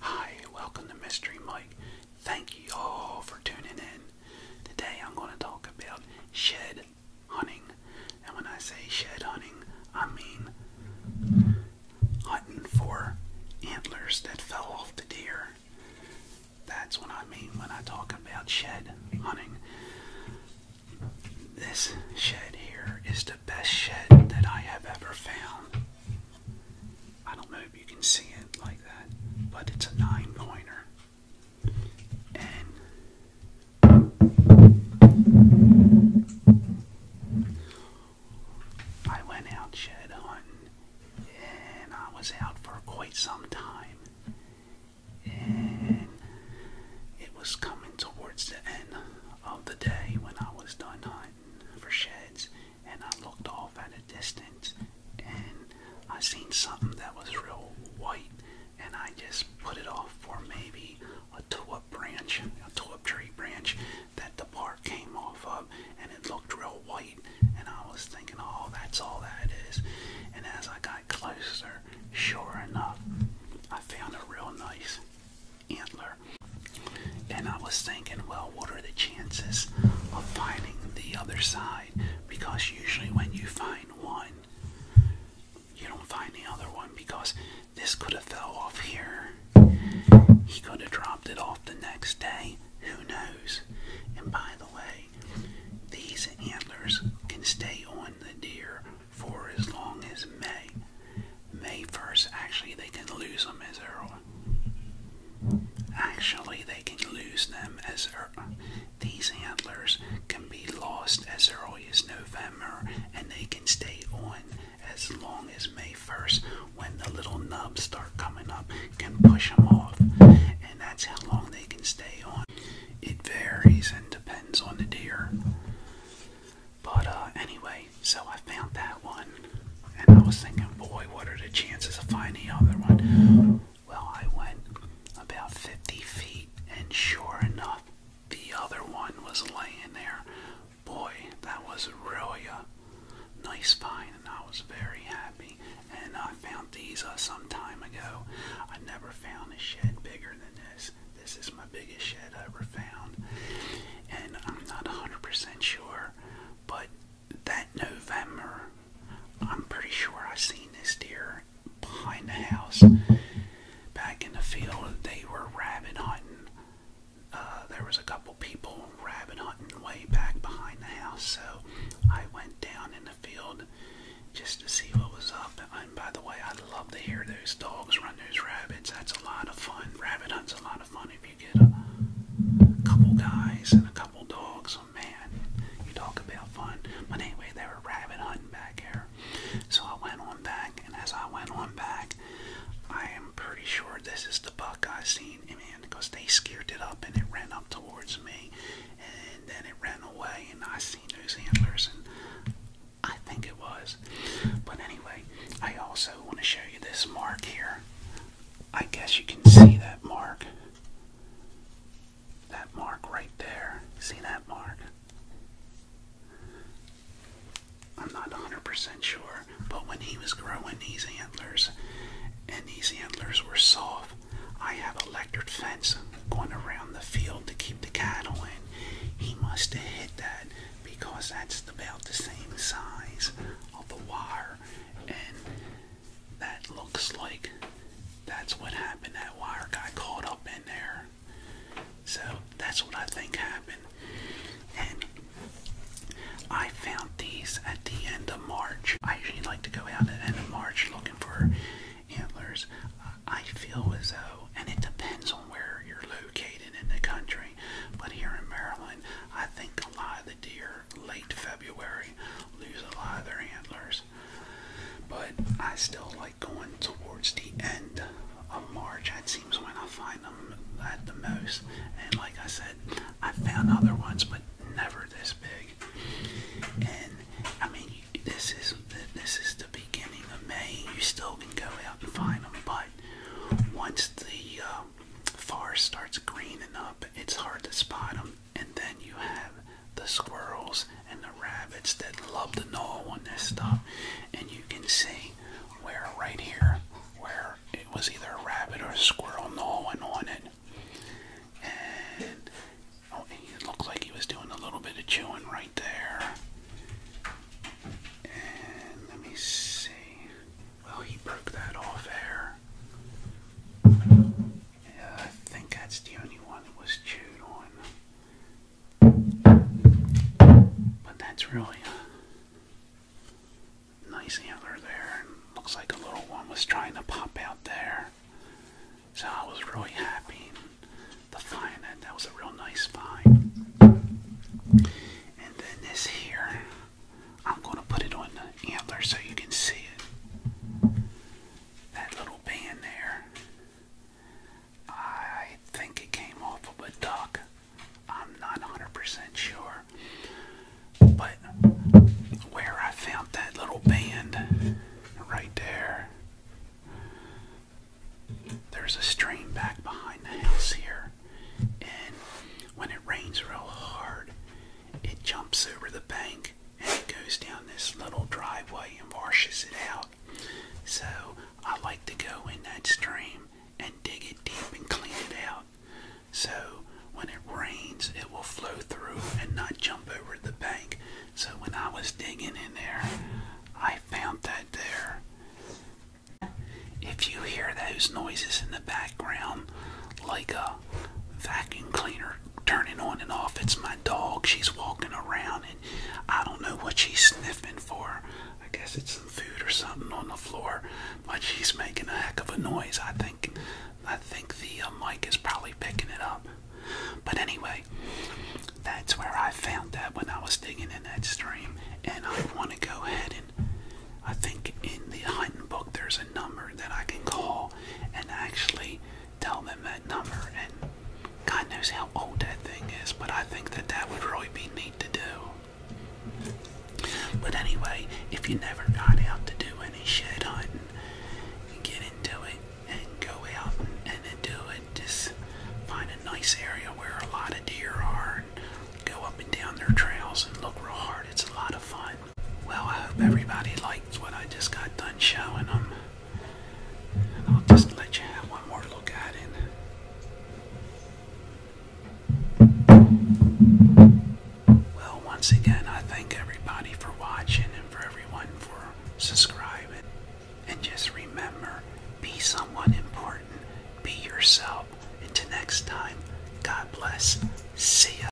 Hi, welcome to Mystery Mike. Thank you all for tuning in. Today I'm going to talk about shed hunting. And when I say shed hunting, I mean hunting for antlers that fell off the deer. That's what I mean when I talk about shed hunting. This shed here is the best shed that I have ever found. I don't know if you can see it like that, but it's a nine pointer. And I went out shed hunting and I was out for quite some time. And it was coming towards the end of the day when I was done hunting for sheds and I looked off at a distance and I seen something that was real white and I just put it off for maybe a tulip branch, a tulip tree branch that the bark came off of and it looked real white and I was thinking, oh, that's all that is. And as I got closer, sure enough, I found a real nice antler. And I was thinking, well, what are the chances of finding the other side? Because usually when you find one, you don't find the other one because this could have fell off here. He could have dropped it off the next day. Who knows? And by the way, these antlers can stay on the deer for as long as May. May 1st, actually, they can lose them as early. Actually, they can lose them as early. These antlers can be lost as early as November and they can stay on as long as May 1st when the little nubs start coming up, can push them off. And that's how long they can stay on it varies and depends on the deer. But uh, anyway, so I found that one, and I was thinking, boy, what are the chances of finding the other one? Well, I went about 50 feet, and sure enough, the other one was laying there. Boy, that was really a nice find, and I was very happy and I found these uh, some time ago. I never found a shed bigger than this. This is my biggest shed I ever found, and I'm not 100% sure, but that November, I'm pretty sure I seen this deer behind the house. Back in the field, they were rabbit hunting. Uh, there was a couple people rabbit hunting way back behind the house, so I went down and in the field just to see what was up. And by the way, I love to hear those dogs run those rabbits. That's a lot of fun. Rabbit hunt's a lot of fun if you get a couple guys and a couple dogs. Oh man, you talk about fun. But anyway, they were rabbit hunting back here. So I went on back, and as I went on back, I am pretty sure this is the buck I seen because they scared it up and it ran up towards me, and then it ran away, and I see those antlers, and I think it was. But anyway, I also want to show you this mark here. I guess you can see that mark. That mark right there. See that mark? I'm not 100% sure anymore. But when he was growing these antlers, and these antlers were soft, I have electric fence going around the field to keep the cattle in. He must have hit that because that's about the same size of the wire, and that looks like that's what happened. That wire got caught up in there. So that's what I think happened. And I found these at the end of March. I usually like to go out at the end of March looking for antlers. Uh, I feel as though, and it depends on where you're located in the country, but here in Maryland, I think a lot of the deer late February lose a lot of their antlers. But I still like going towards the end of March. That seems when I find find them at the most. And like I said, I found other ones, but never this big. And I mean, this is this is the beginning of May. You still can go out and find them, but once the uh, forest starts greening up, it's hard to spot them. And then you have the squirrels and the rabbits that love to gnaw on this stuff, and you can see where right here where it was either a rabbit or a squirrel gnawing on it. Oh, and it looked like he was doing a little bit of chewing right there. And let me see. Well, he broke that off there. I think that's the only one that was chewed on. But that's really a nice antler there. looks like a little one was trying to pop out there. So I was really happy to find that. That was a real nice find. And then this here, I'm going to put it on the antler so you can see it. That little band there. I think it came off of a duck. I'm not 100% sure. But where I found that little band right there, there's a stream back behind the house here. And when it rains real hard, it jumps over the bank and it goes down this little driveway and washes it out. So I like to go in that stream and dig it deep and clean it out. So when it rains, it will flow through and not jump over the bank. So when I was digging in there, I found that there. If you hear those noises in the background, like a vacuum cleaner turning on and off. It's my dog. She's walking around and I don't know what she's sniffing for. I guess it's some food or something on the floor, but she's making a heck of a noise. I think I think the uh, mic is probably picking it up. But anyway, that's where I found that when I was digging in that stream and I want to go ahead and I think in the hunting book there's a number that I can call and actually tell them that number and God knows how old that thing is, but I think that that would really be neat to do. But anyway, if you never got out to do any shed hunting, get into it and go out and, and then do it. Just find a nice area where a lot of deer are and go up and down their trails and look real hard. It's a lot of fun. Well, I hope everybody liked what I just got done showing them. And I'll just let you have one more look at it. Well, once again, I thank everybody for watching and for everyone for subscribing. And just remember, be someone important, be yourself. Until next time, God bless. See ya.